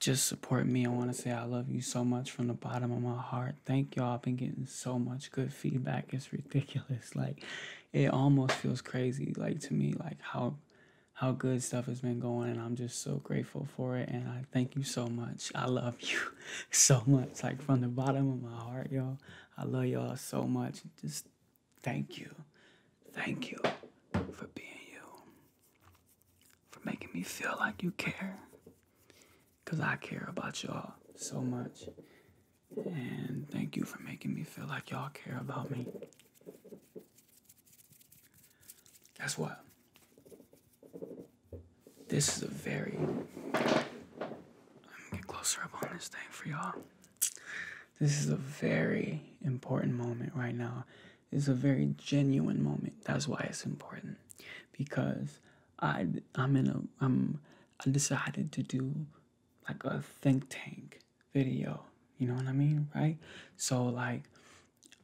just support me. I want to say I love you so much from the bottom of my heart. Thank y'all. I've been getting so much good feedback. It's ridiculous. Like it almost feels crazy like to me like how how good stuff has been going and I'm just so grateful for it and I thank you so much. I love you so much. Like from the bottom of my heart, y'all. I love y'all so much. Just thank you. Thank you for being you for making me feel like you care. Because I care about y'all so much. And thank you for making me feel like y'all care about me. That's what. This is a very. I'm get closer up on this thing for y'all. This is a very important moment right now is a very genuine moment. That's why it's important because I I'm in a I'm I decided to do like a think tank video. You know what I mean, right? So like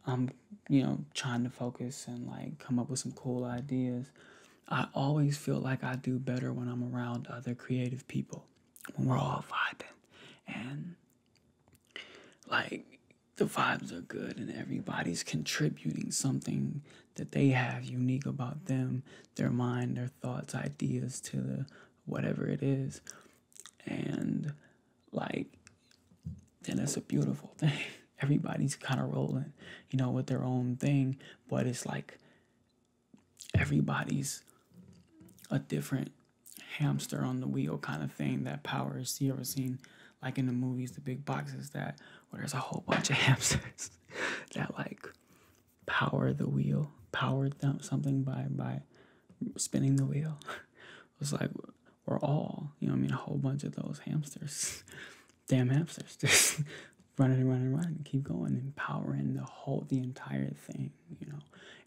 I'm you know trying to focus and like come up with some cool ideas. I always feel like I do better when I'm around other creative people when we're all vibing and like the vibes are good and everybody's contributing something that they have unique about them, their mind, their thoughts, ideas to the, whatever it is. And like, then that's a beautiful thing. Everybody's kind of rolling, you know, with their own thing, but it's like everybody's a different hamster on the wheel kind of thing that powers you ever seen like in the movies the big boxes that where there's a whole bunch of hamsters that like power the wheel power something by by spinning the wheel it's like we're all you know i mean a whole bunch of those hamsters damn hamsters just running and running and running keep going and empowering the whole the entire thing you know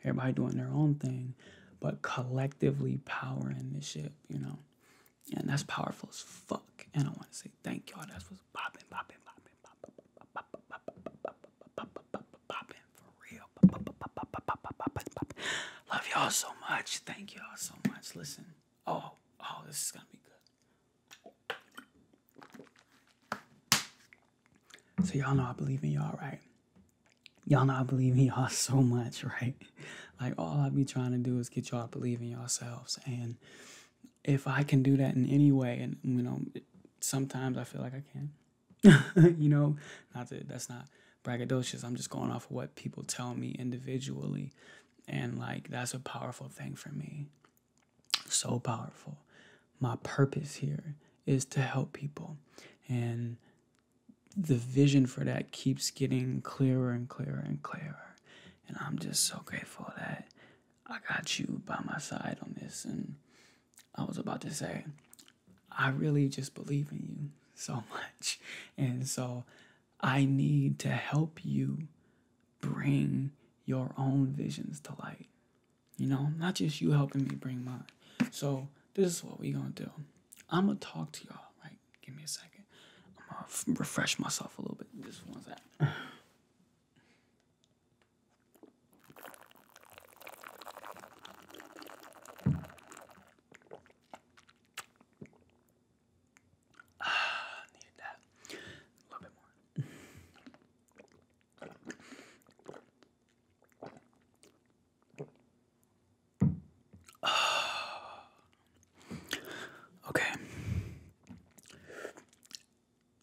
everybody doing their own thing but collectively powering this shit, you know. And that's powerful as fuck. And I want to say thank y'all. That's what's popping, popping, popping, popping, popping, popping, popping, for real. Love y'all so much. Thank y'all so much. Listen. Oh, oh, this is gonna be good. So y'all know I believe in y'all, right? y'all not in y'all so much, right? Like all I be trying to do is get y'all believing yourselves. And if I can do that in any way, and you know, sometimes I feel like I can. you know, not that that's not braggadocious. I'm just going off of what people tell me individually. And like that's a powerful thing for me. So powerful. My purpose here is to help people. And the vision for that keeps getting clearer and clearer and clearer. And I'm just so grateful that I got you by my side on this. And I was about to say, I really just believe in you so much. And so I need to help you bring your own visions to light. You know, not just you helping me bring mine. So this is what we're going to do. I'm gonna talk to y'all. Right? Give me a second. I'm gonna refresh myself a little bit. Just one second. Ah, needed that. A little bit more. okay.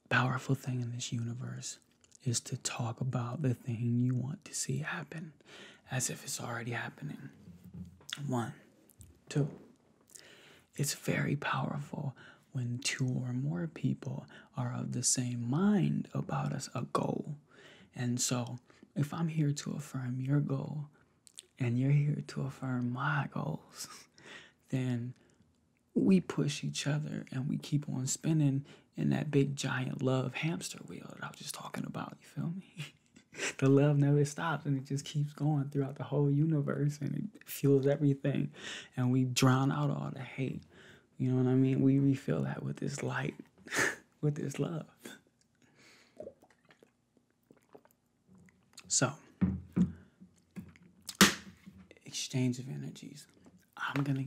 Powerful thing in this universe is to talk about the thing you want to see happen as if it's already happening. One, two. It's very powerful when two or more people are of the same mind about us, a goal and so, if I'm here to affirm your goal and you're here to affirm my goals, then we push each other and we keep on spinning in that big giant love hamster wheel that I was just talking about. You feel me? the love never stops and it just keeps going throughout the whole universe and it fuels everything. And we drown out all the hate. You know what I mean? We refill that with this light, with this love. So, exchange of energies. I'm going to,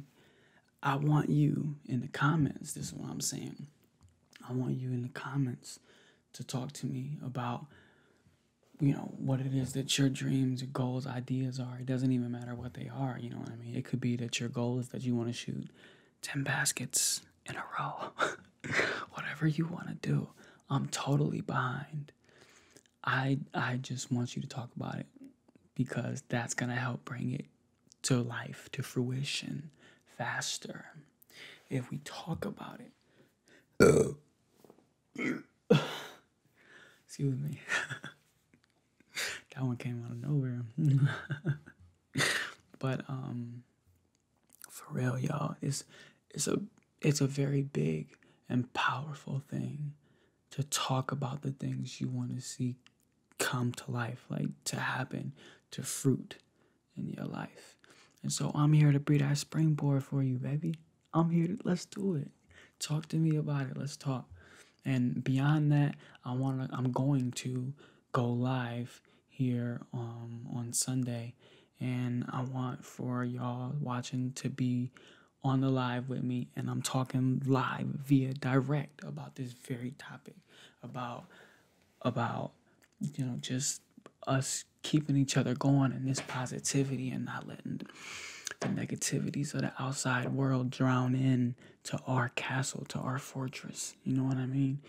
I want you in the comments, this is what I'm saying. I want you in the comments to talk to me about you know what it is that your dreams your goals ideas are it doesn't even matter what they are you know what i mean it could be that your goal is that you want to shoot 10 baskets in a row. Whatever you want to do, I'm totally behind. I I just want you to talk about it because that's going to help bring it to life, to fruition faster. If we talk about it. Excuse me. that one came out of nowhere. but um for real y'all it's it's a it's a very big and powerful thing to talk about the things you want to see come to life like to happen to fruit in your life and so i'm here to be that springboard for you baby i'm here to, let's do it talk to me about it let's talk and beyond that i want to i'm going to go live here um, on Sunday. And I want for y'all watching to be on the live with me. And I'm talking live via direct about this very topic about, about, you know, just us keeping each other going and this positivity and not letting the negativities of the outside world drown in to our castle, to our fortress. You know what I mean?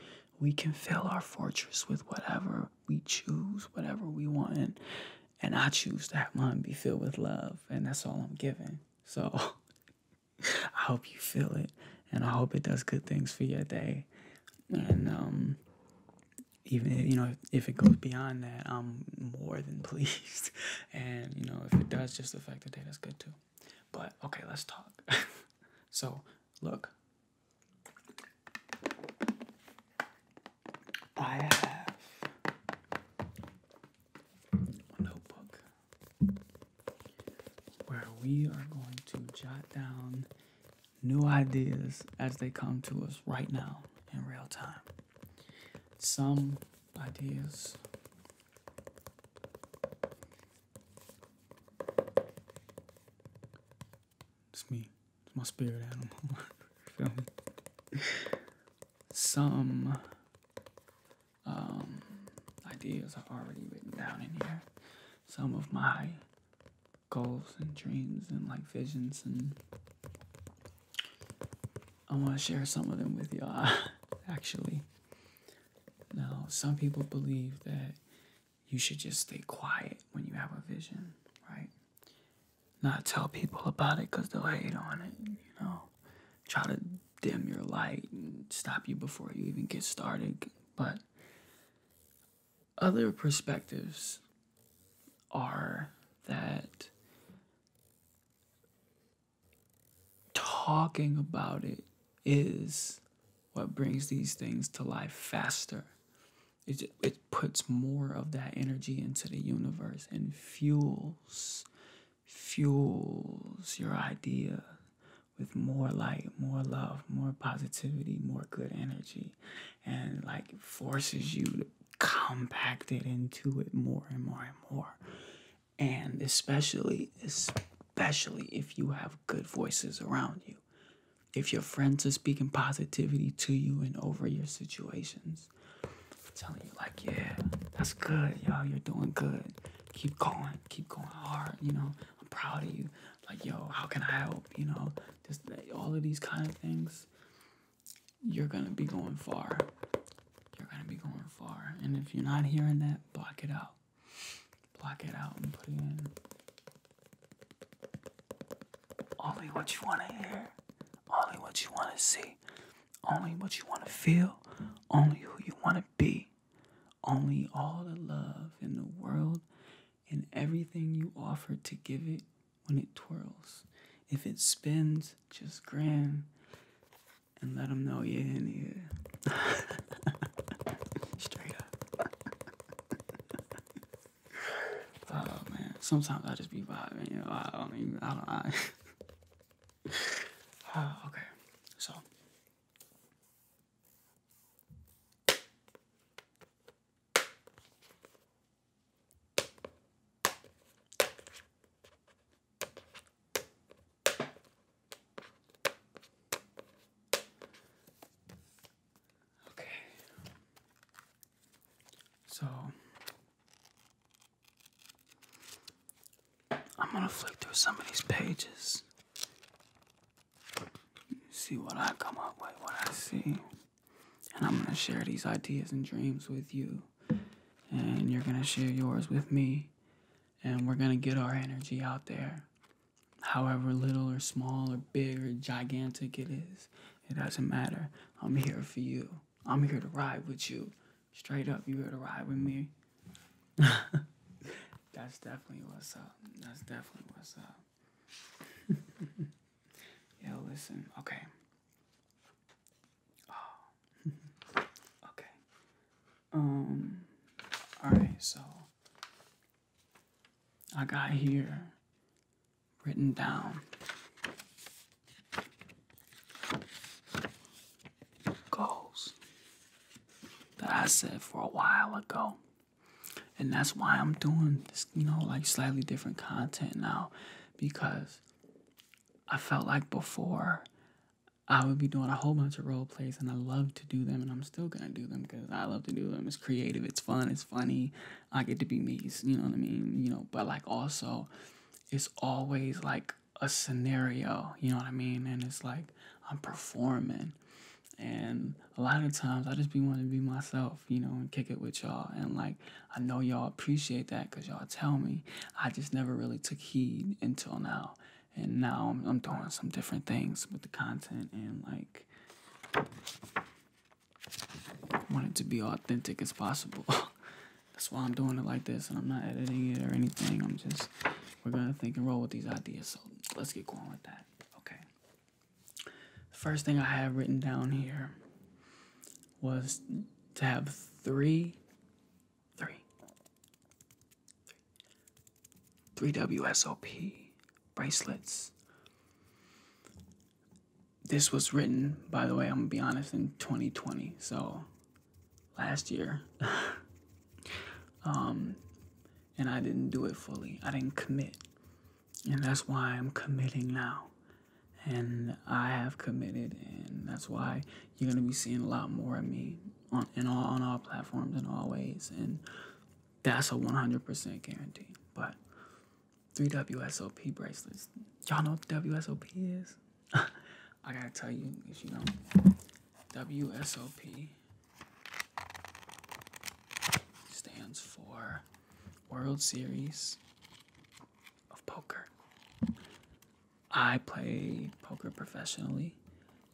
We can fill our fortress with whatever we choose, whatever we want. And, and I choose to have mine be filled with love. And that's all I'm giving. So I hope you feel it. And I hope it does good things for your day. And, um, even you know if it goes beyond that i'm more than pleased and you know if it does just affect the day that's good too but okay, let's talk. so, look. I have a notebook where we are going to jot down new ideas as they come to us right now in real time. Some ideas it's me. It's my spirit animal. Feel me? Some um, ideas are already written down in here. Some of my goals and dreams and like visions and I want to share some of them with y'all actually. Now, some people believe that you should just stay quiet when you have a vision, right? Not tell people about it because they'll hate on it, you know? Try to dim your light and stop you before you even get started. But other perspectives are that talking about it is what brings these things to life faster. It, it puts more of that energy into the universe and fuels fuels your idea with more light, more love, more positivity, more good energy, and like forces you to compact it into it more and more and more and especially especially if you have good voices around you if your friends are speaking positivity to you and over your situations telling you like yeah that's good yo you're doing good keep going keep going hard you know i'm proud of you like yo how can i help you know just all of these kind of things you're gonna be going far you're gonna be going far and if you're not hearing that block it out block it out and put it in. Only what you want to hear, only what you want to see, only what you want to feel, only who you want to be, only all the love in the world and everything you offer to give it when it twirls. If it spins, just grand and let them know you're in here. Straight up. oh man, sometimes I just be vibing. You know, I don't even. I don't. Oh, okay, so. Okay. So I'm going to flick through some of these pages. See what I come up with, what I see. And I'm going to share these ideas and dreams with you. And you're going to share yours with me and we're going to get our energy out there. However little or small or big or gigantic it is, it doesn't matter. I'm here for you. I'm here to ride with you. Straight up, you're here to ride with me. That's definitely what's up. That's definitely what's up. yeah, listen. Okay. Oh. okay. Um. All right. So I got here written down. Goals that I said for a while ago, and that's why I'm doing this, you know, like slightly different content now because I felt like before I would be doing a whole bunch of role plays, and I love to do them, and I'm still gonna do them because I love to do them. It's creative, it's fun, it's funny. I get to be me, you know what I mean? You know, but like also, it's always like a scenario, you know what I mean? And it's like I'm performing, and a lot of times I just be wanting to be myself, you know, and kick it with y'all. And like I know y'all appreciate that because y'all tell me. I just never really took heed until now and now I'm, doing some different things with the content and like I want it to be authentic as possible. That's why I'm doing it like this, and I'm not editing it or anything. I'm just we're gonna think and roll with these ideas. So let's get going with that. Okay. The first thing I have written down here was to have three three WSOP bracelets. This was written, by the way, I'm gonna be honest, in 2020, so last year. um, and I didn't do it fully. I didn't commit, and that's why I'm committing now. And I have committed, and that's why you're gonna be seeing a lot more of me on all on all platforms and all ways, and that's a 100% guarantee. But three WSOP bracelets, y'all know what WSOP is. I gotta tell you if you know, WSOP stands for World Series of Poker. I play poker professionally,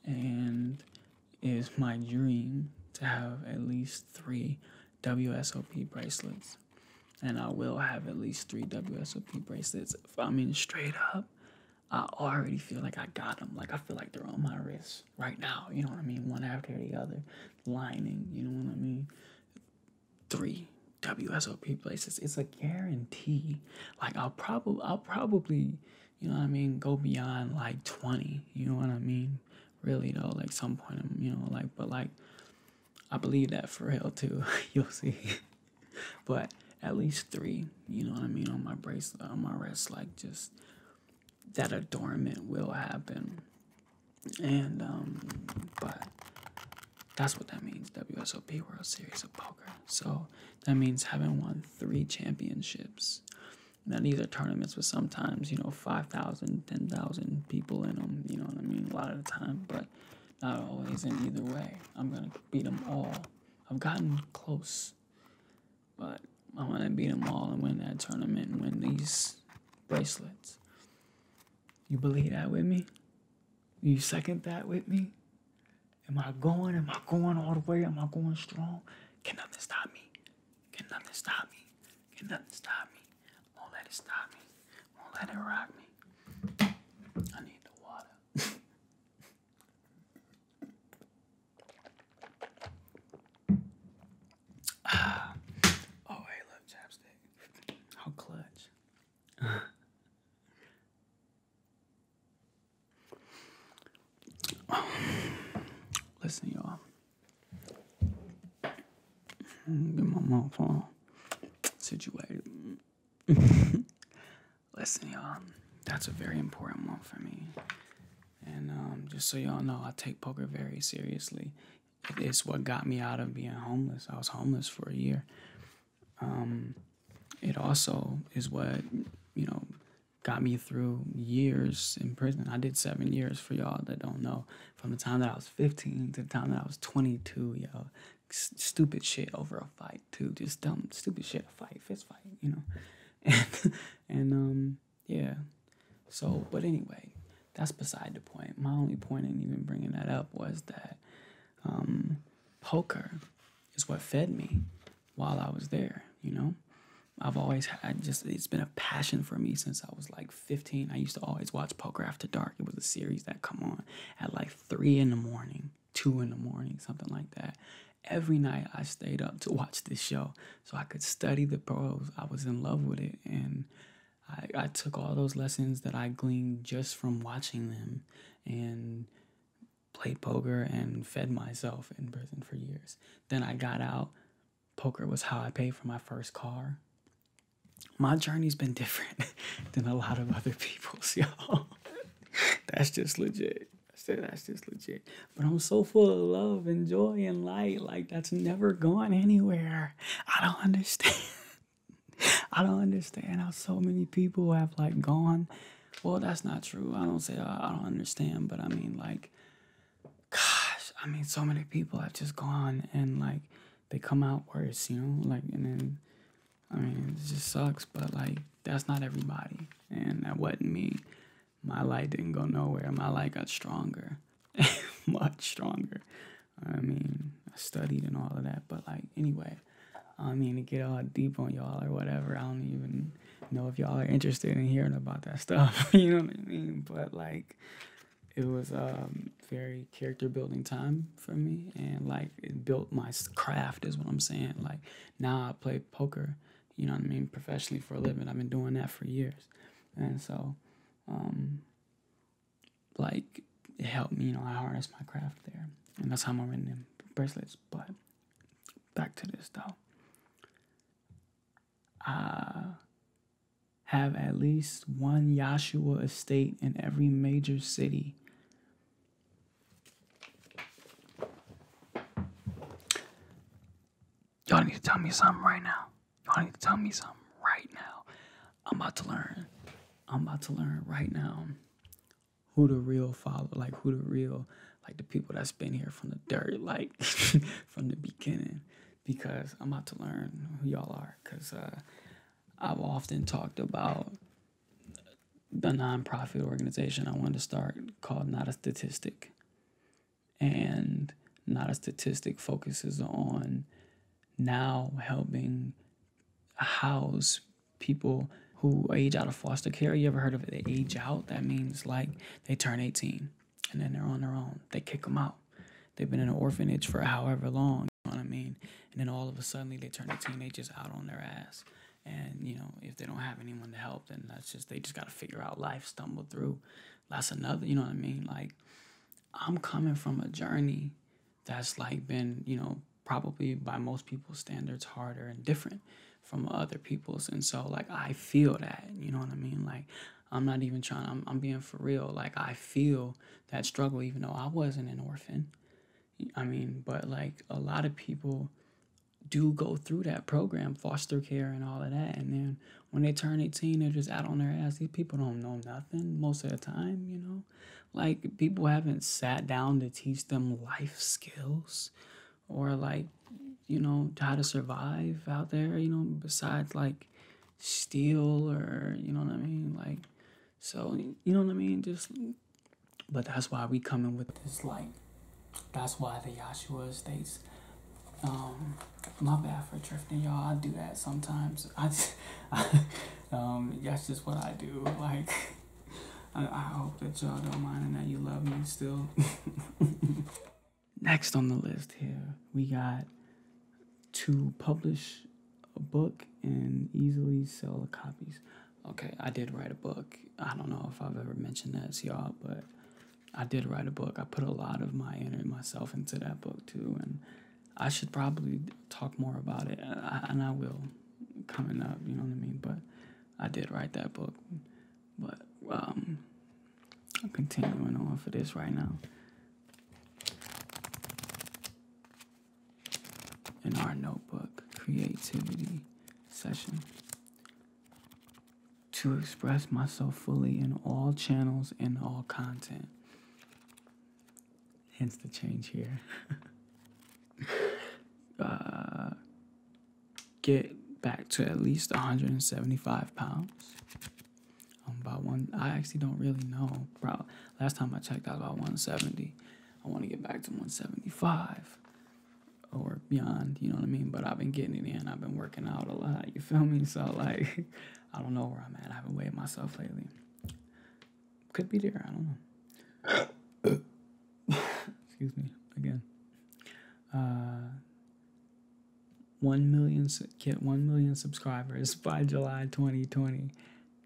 and it is my dream to have at least three WSOP bracelets. And I will have at least three WSOP bracelets. I mean, straight up, I already feel like I got them. Like, I feel like they're on my wrist right now. You know what I mean? One after the other, lining. You know what I mean? Three WSOP bracelets. It's a guarantee. Like, I'll probably, I'll probably you know what I mean, go beyond like 20, you know what I mean? Really though, like some point, I'm, um, you know, like, but like, I believe that for real too, you'll see. but at least three, you know what I mean, on my bracelet, on my wrist, like just that adornment will happen. And, um, but that's what that means, WSOP World Series of Poker. So that means having won three championships. Now, these are tournaments with sometimes, you know, 5,000, 10,000 people in them, you know I mean, a lot of the time, but not always. In either way, I'm going to beat them all. I've gotten close, but I want to beat them all and win that tournament and win these bracelets. You believe that with me? You second that with me? Am I going? Am I going all the way? Am I going strong? Can nothing stop me? Can nothing stop me? Can nothing stop me? Won't let it stop me. Won't let it rock me. I need the water. ah. Oh, hey, look, chapstick. How clutch. Listen, y'all. Get my mouth all situated. Listen, y'all. That's a very important one for me. And um, just so y'all know, I take poker very seriously. It's what got me out of being homeless. I was homeless for a year. Um, it also is what you know got me through years in prison. I did seven years for y'all that don't know. From the time that I was 15 to the time that I was 22, yo, stupid shit over a fight too, just dumb stupid shit, a fight, fist fight, you know, and and um yeah. So, but anyway, that's beside the point. My only point in even bringing that up was that um, poker is what fed me while I was there, you know? I've always had just, it's been a passion for me since I was like 15. I used to always watch Poker After Dark. It was a series that come on at like 3 in the morning, 2 in the morning, something like that. Every night I stayed up to watch this show so I could study the pros. I was in love with it. And I took all those lessons that I gleaned just from watching them and played poker and fed myself in prison for years. Then I got out. Poker was how I paid for my first car. My journey's been different than a lot of other people's, y'all. that's just legit. That's just legit. But I'm so full of love and joy and light. Like, that's never gone anywhere. I don't understand. I don't understand how so many people have, like, gone well, that's not true. I don't say I, don't understand, but I mean, like, gosh, I mean, so many people have just gone and like they come out worse, you know, like, and then I mean, it just sucks, but like, that's not everybody, and that wasn't me. My light didn't go nowhere. My light got stronger, much stronger. I mean, I studied and all of that, but like, anyway, I mean to get all deep on y'all or whatever. I don't even know if y'all are interested in hearing about that stuff. you know what I mean? But like, it was a um, very character building time for me, and like it built my craft is what I'm saying. Like now I play poker. You know what I mean? Professionally for a living. I've been doing that for years, and so, um, like it helped me. You know, I harnessed my craft there, and that's how I'm wearing them bracelets. But back to this though. I have at least one Yahshua estate in every major city. Y'all need to tell me something right now. Y'all need to tell me something right now. I'm about to learn. I'm about to learn right now who the real father? like who the real, like the people that's been here from the dirt, like from the beginning, because I'm about to learn who y'all are. Because uh, I've often talked about the nonprofit organization I wanted to start called Not a Statistic. And Not a Statistic focuses on now helping house people who age out of foster care. You ever heard of it? They age out. That means like they turn 18 and then they're on their own. They kick them out. They've been in an orphanage for however long. You know what I mean? And then all of a sudden they turn 18. They just out on their ass. And you know, if they don't have anyone to help, then that's just they just gotta figure out life, stumble through. That's another. You know what I mean? Like I'm coming from a journey that's like been you know probably by most people's standards harder and different from other people's and so like i feel that you know what i mean like i'm not even trying i'm, I'm being for real like i feel that struggle even though i wasn't an orphan i mean but like a lot of people do go through that program foster care and all of that and then when they turn 18 they're just out on their ass these people don't know nothing most of the time you know like people haven't sat down to teach them life skills or like you know how to survive out there you know besides like steal or you know what i mean like so you know what i mean just but that's why we coming with this like that's why the Yahshua states um my bad for drifting y'all i do that sometimes i, just, um that's just what i do like I, hope that y'all don't mind and that you love me still. Next on the list here, we got to publish a book and easily sell the copies. Okay, I did write a book. I don't know if I've ever mentioned that y'all, but I did write a book. I put a lot of my energy myself into that book too, and I should probably talk more about it, and I will coming up, you know what I mean? But I did write that book. But um, I'm continuing on for this right now. In our notebook, creativity session. To express myself fully in all channels and all content hence the change here. uh, get back to at least 175 pounds. I'm um, about one. I actually don't really know. Probably last time I checked, I was about 170. I want to get back to 175 or beyond. You know what I mean? But I've been getting it in. I've been working out a lot. You feel me? So like, I don't know where I'm at. I haven't weighed myself lately. Could be deer. I don't know. Excuse me again. Uh, one million get one million subscribers by July 2020.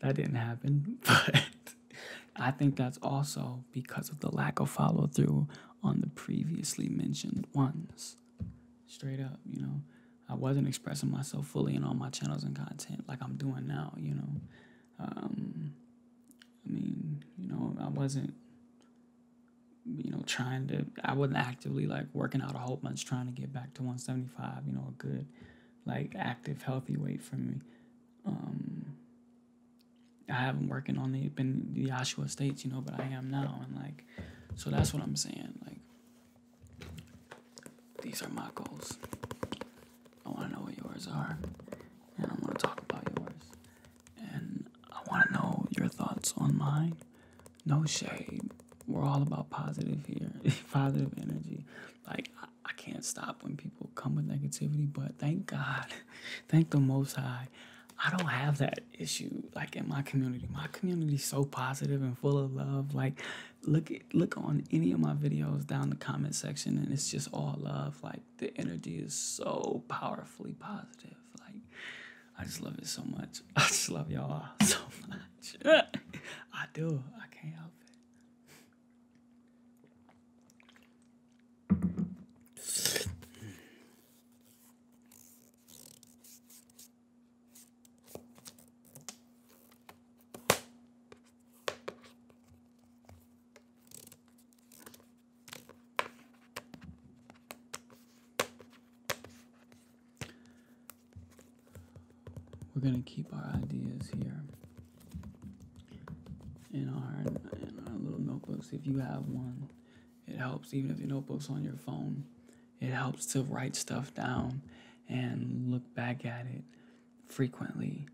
That didn't happen, but I think that's also because of the lack of follow through on the previously mentioned ones. Straight up, you know, I wasn't expressing myself fully in all my channels and content like I'm doing now, you know. Um, I mean, you know, I wasn't, you know, trying to, I wasn't actively like working out a whole bunch trying to get back to 175, you know, a good, like, active, healthy weight for me. Um, I haven't working on it, been the Oshawa States, you know, but I am now. And like, so that's what I'm saying. Like, these are my goals. I want to know what yours are, and I want to talk about yours, and I want to know your thoughts on mine. No shade. We're all about positive here, positive energy. Like I, can't stop when people come with negativity, but thank God, thank the Most High. I don't have that issue like in my community. My community is so positive and full of love. Like, look, look on any of my videos down the comment section, and it's just all love. Like the energy is so powerfully positive. Like I just love it so much. I just love y'all so much. I do. I can't help it. We're going to keep our ideas here in our, little notebooks. If you have one, it helps. Even if your notebook's on your phone, it helps to write stuff down and look back at it frequently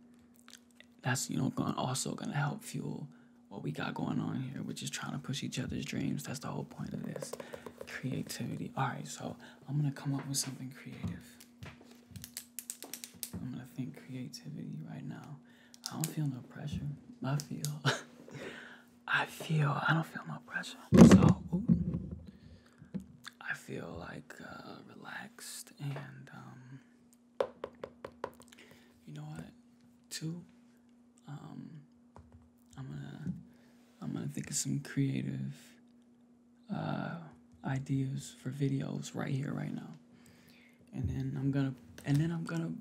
that's you know also going to help fuel what we got going on here, We're just trying to push each other's dreams. That's the whole point of this creativity. All right, so I'm gonna come up with something creative. I'm gonna think creativity right now. I don't feel no pressure. I feel, I feel, I don't feel no pressure. So, I feel like uh, relaxed and um, you know what? Two, um, I'm gonna I'm gonna think of some creative uh, ideas for videos right here, right now, and then I'm gonna and then I'm gonna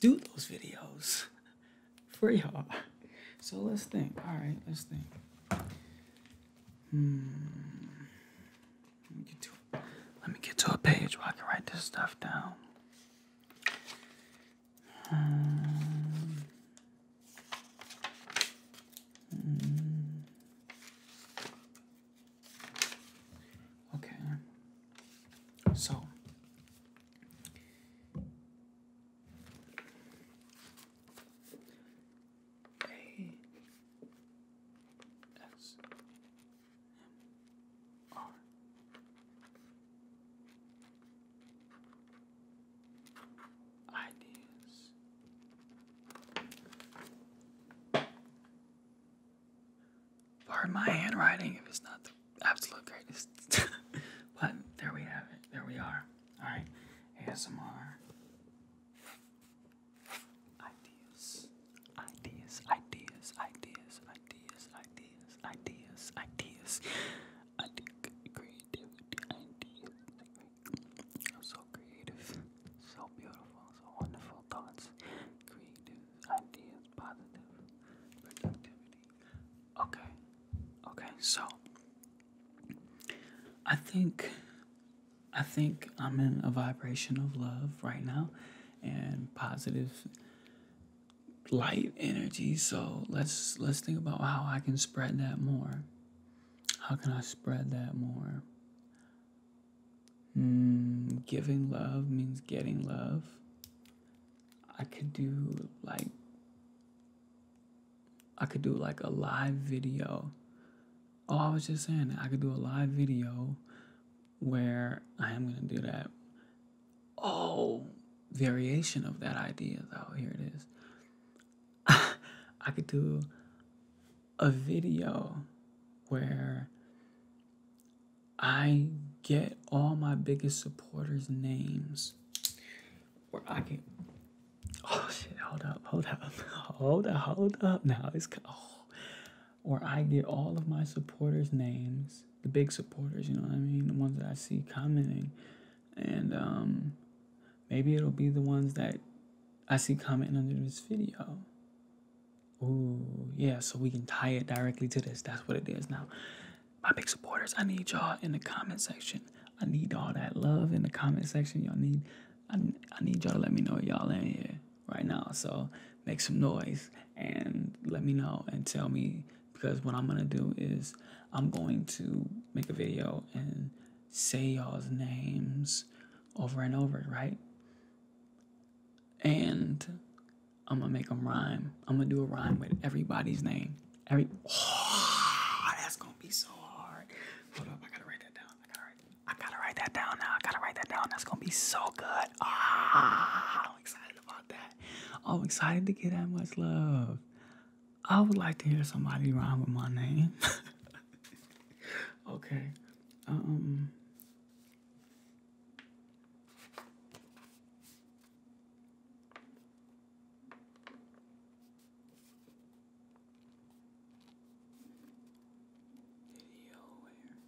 do those videos for y'all. So let's think. All right, let's think. Let me get to, let me get to a page where I can write this stuff down. Hmm. okay. So. A S M R. Ideas. Pardon my handwriting if it's not the absolute greatest. but there we have it. There we are. Alright. ASMR. Ideas, ideas, ideas, ideas, ideas, ideas, ideas, ideas. I think creativity, ideas. I'm so creative, so beautiful, so wonderful thoughts, creative ideas, positive productivity. Okay, okay, so I think I think I'm in a vibration of love right now and positive light energy. So let's let's think about how I can spread that more. How can I spread that more? Mm, giving love means getting love. I could do like I could do like a live video Oh, I was just saying I could do a live video where I am gonna do that. Oh, variation of that idea though. Here it is. I could do a video where I get all my biggest supporters' names, where I can Oh shit! Hold up! Hold up! Hold up! Hold up! Now it's oh, or I get all of my supporters' names, the big supporters. You know what I mean? The ones that I see commenting, and um, maybe it'll be the ones that I see commenting under this video. Ooh, yeah. So we can tie it directly to this. That's what it is now. My big supporters, I need y'all in the comment section. I need all that love in the comment section. Y'all need I, I need y'all to let me know y'all in here right now. So make some noise and let me know and tell me because what I'm gonna do is I'm going to make a video and say y'all's names over and over, right? And I'm gonna make them rhyme. I'm gonna do a rhyme with everybody's name. Every that's gonna be so hard. Hold up, I gotta write that down. I got I gotta write that down I gotta write that down. That's gonna be so good. Ah, I'm excited about that. I'm excited to get that much love. I would like to hear somebody rhyme with my name. okay. Um video where I see that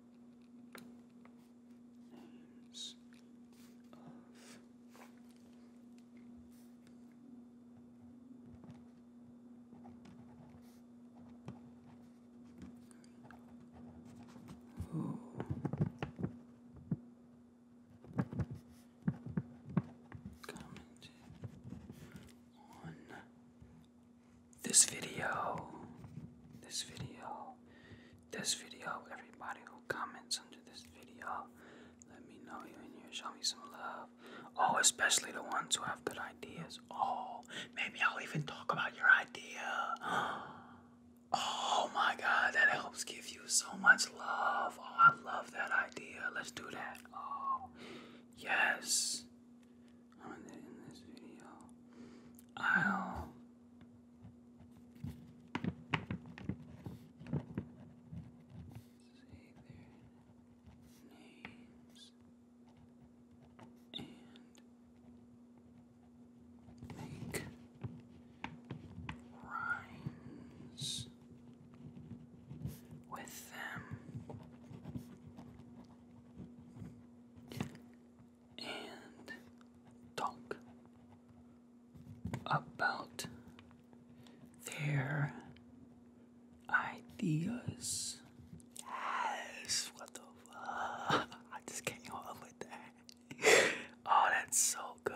names of who commented on this video. This video this video, everybody who comments under this video. Let me know you in here. Show me some love. Oh, especially the ones who have good ideas. Oh, maybe I'll even talk about your idea. Oh my god, that helps give you so much love. Oh, I love that idea. Let's do that. Oh, yes. i in this video. I'll names and make rhymes with them and talk about their ideas. Yes, what the fuck? I just can't go up with that. oh, that's so good.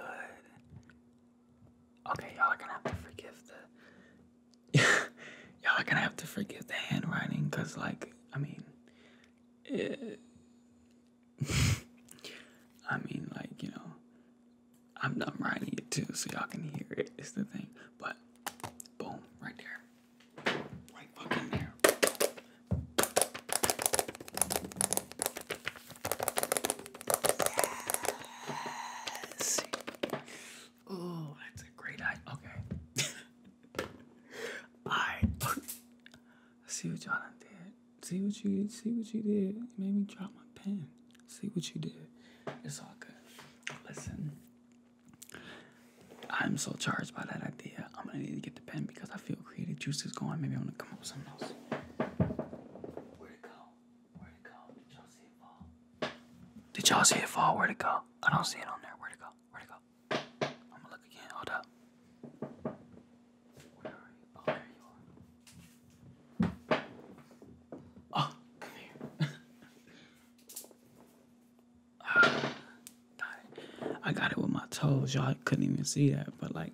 Okay, y'all are gonna have to forgive the. y'all are gonna have to forgive the handwriting, cause like, I mean, it, I mean, like, you know, I'm, i writing it too, so y'all can hear it. It's the thing. But, boom, right there. Right fucking there. Yes. Oh, that's a great idea. Okay. I see what y'all did. See what you see what you did. You made me drop my pen. See what you did. It's all good. Listen. I'm so charged by that idea. I'm gonna need to get the pen because I feel creative juice is going. Maybe I'm gonna come up with something else. Where'd it go? Where'd it go? Did y'all see it fall? Did y'all see it fall? Where'd it go? I don't see it on there. Where'd it go? Where'd it go? I'm gonna look again. Hold up. Where are you? Oh, there you are. Oh, come here. Ah, I got it with my toes. Y'all couldn't even see that, but like,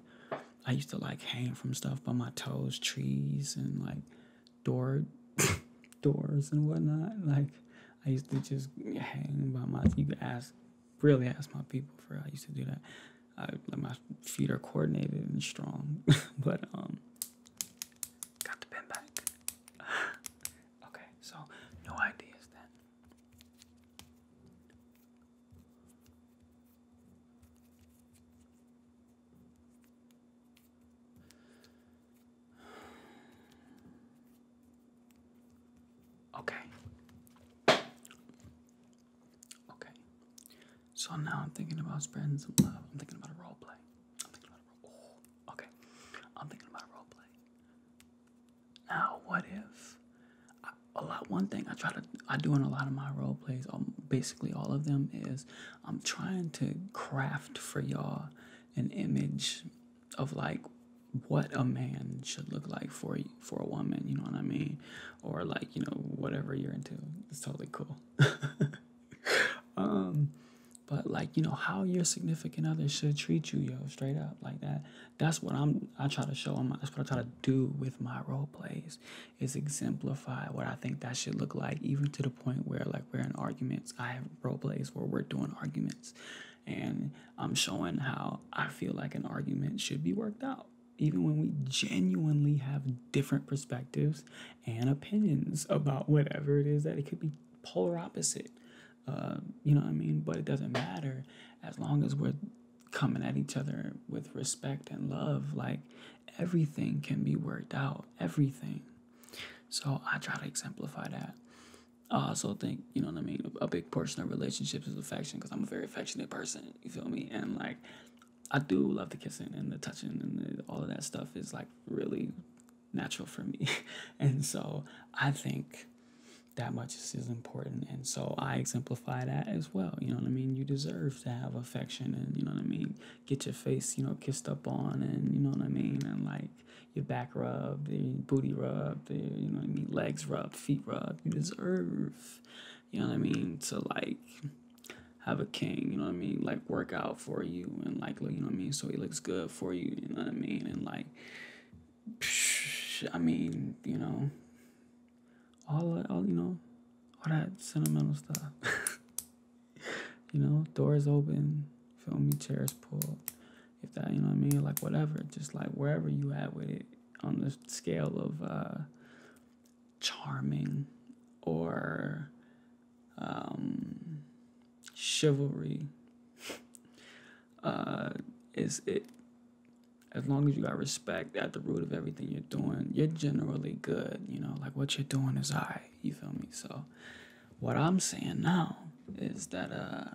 I used to like hang from stuff by my toes, trees, and like door doors and whatnot. Like, I used to just hang by my. You really ask my people for I used to do that. I like my feet are coordinated and strong. but um got the pin back. okay, so no ideas then. Okay. Okay. So now I'm thinking about spreading some love. I'm thinking about a role play. Oh, okay. I'm thinking about a role play. Now, what if a lot? One thing I try to I do in a lot of my role plays, um, basically all of them, is I'm trying to craft for y'all an image of like what a man should look like for for a woman, you know what I mean? Or like, you know, whatever you're into. It's totally cool. um but like, you know, how your significant other should treat you, yo, straight up like that. That's what I'm I try to show them. That's what I try to do with my role plays is exemplify what I think that should look like, even to the point where like we're in arguments. I have role plays where we're doing arguments and I'm showing how I feel like an argument should be worked out, even when we genuinely have different perspectives and opinions about whatever it is that it could be polar opposite. Uh, you know what I mean? But it doesn't matter as long as we're coming at each other with respect and love. Like everything can be worked out, everything. So I try to exemplify that. I also think, you know what I mean, a big portion of relationships is affection because I'm a very affectionate person, you feel me? And like, I do love the kissing and the touching and all of that stuff is like really natural for me. and so I think that much is, important. And so I exemplify that as well. You know what I mean? You deserve to have affection and, you know what I mean? Get your face, you know, kissed up on and, you know what I mean? And like your back rubbed, the booty rubbed, your, you know what I mean? Legs rubbed, feet rubbed, you deserve. You know what I mean? To like have a king, you know what I mean? Like work out for you and like you know what I mean? So he looks good for you, you know what I mean? And like I mean, you know, all all you know, all that sentimental stuff. you know, doors open, fill me, chairs pull. If that, you know what I mean? Like whatever, just like wherever you at with it, on the scale of uh, charming or um, chivalry uh, is it as long as you got respect at the root of everything you're doing you're generally good you know like what you're doing is all right you feel me so what i'm saying now is that uh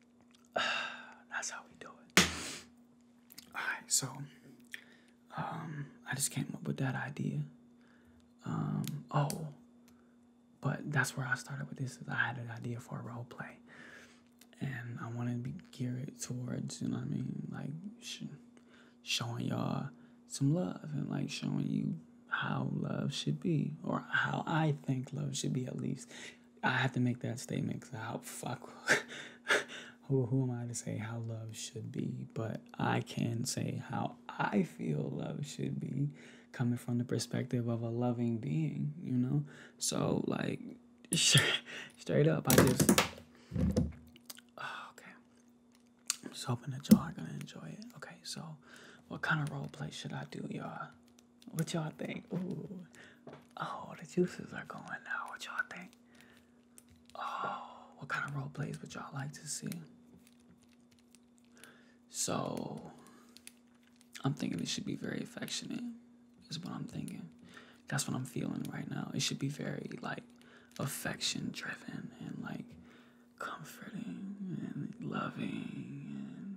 That's how we do it. Alright, so um I just came up with that idea. Um oh but that's where I started with this. I had an idea for a role play. And I wanted to be geared towards, you know what I mean? Like showing y'all some love and like showing you how love should be or how I think love should be at least. I have to make that statement because how fuck who who am I to say how love should be? But I can say how I feel love should be, coming from the perspective of a loving being, you know. So like, straight up, I just oh, okay. I'm just hoping that y'all are gonna enjoy it. Okay, so what kind of role play should I do, y'all? What y'all think? Ooh. Oh, the juices are going now. What y'all think? Oh, what kind of role plays would y'all like to see? So, I'm thinking it should be very affectionate, is what I'm thinking. That's what I'm feeling right now. It should be very, like, affection driven and, like, comforting and loving and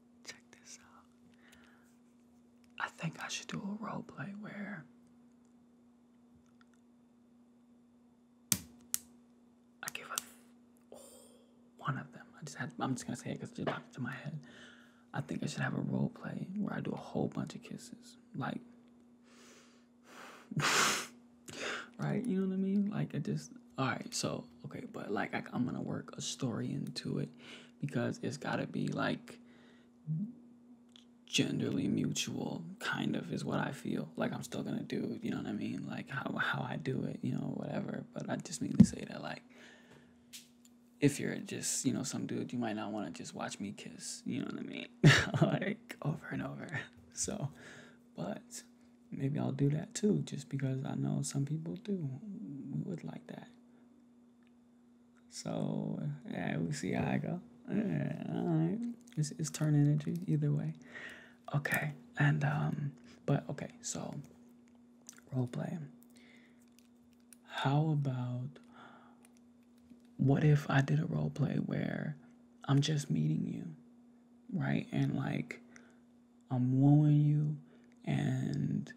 check this out. I think I should do a role play where I give a oh, one of them. I just had, I'm just gonna say it because it popped to my head. I think I should have a role play where I do a whole bunch of kisses, like, right? You know what I mean? Like, I just all right so okay but like I, am gonna work a story into it because it's gotta be like genderly mutual kind of is what i feel like i'm still gonna do you know what i mean like how, how i do it you know whatever but i just mean to say that like if you're just you know some dude you might not want to just watch me kiss you know what i mean like over and over so but maybe I'll do that too, just because I know some people do. We would like that. So yeah, we see how I go. Yeah, it's, it's turn energy either way. Okay, and um, but okay, so role play. How about what if I did a role play where I'm just meeting you, right? And like I'm wooing you. And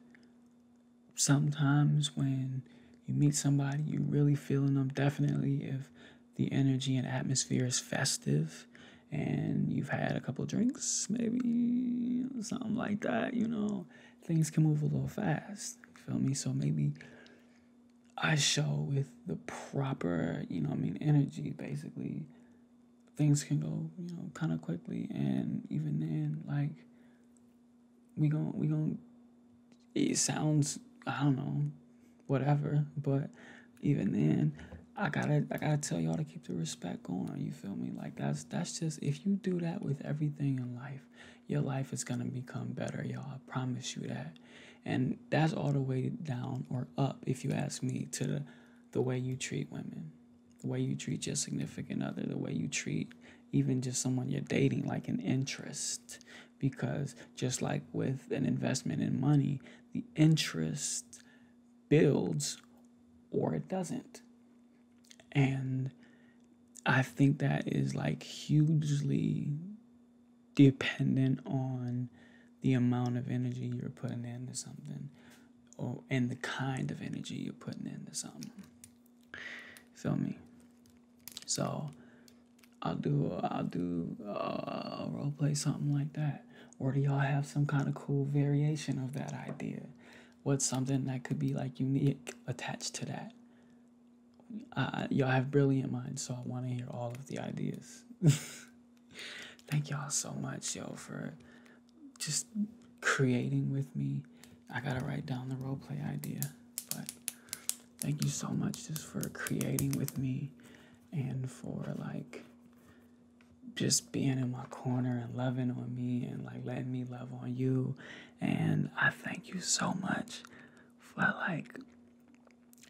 sometimes when you meet somebody, you really feeling them. Definitely, if the energy and atmosphere is festive and you've had a couple drinks, maybe something like that, you know, things can move a little fast. Feel me? So maybe I show with the proper, you know, I mean, energy basically things can go, you know, kind of quickly. And even then, like, we gon' we gon' it sounds I don't know, whatever. But even then, I gotta I gotta tell y'all to keep the respect going. You feel me? Like that's that's just if you do that with everything in life, your life is gonna become better, y'all. I promise you that. And that's all the way down or up, if you ask me, to the, the way you treat women the way you treat your significant other, the way you treat even just someone you're dating, like an interest. Because just like with an investment in money, the interest builds or it doesn't. And I think that is like hugely dependent on the amount of energy you're putting into something or and the kind of energy you're putting into something. Feel me? So I'll do I'll do uh, role play something like that. Or do y'all have some kind of cool variation of that idea? What's something that could be like unique attached to that? y'all have brilliant minds, so I want to hear all of the ideas. Thank y'all so much, y'all, for just creating with me. I gotta write down the roleplay idea. But thank you so much just for creating with me and for like just being in my corner and loving on me and like letting me love on you. And I thank you so much for like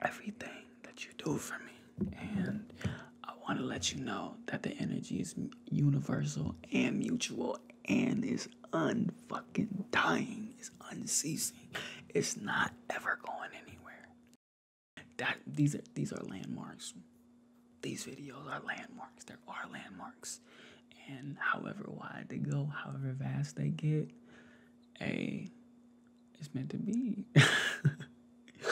everything that you do for me. And I want to let you know that the energy is universal and mutual and is unfucking dying. It's unceasing. It's not ever going anywhere. That these are these are landmarks. These videos are landmarks. There are landmarks. And however wide they go, however vast they get, a it's meant to be.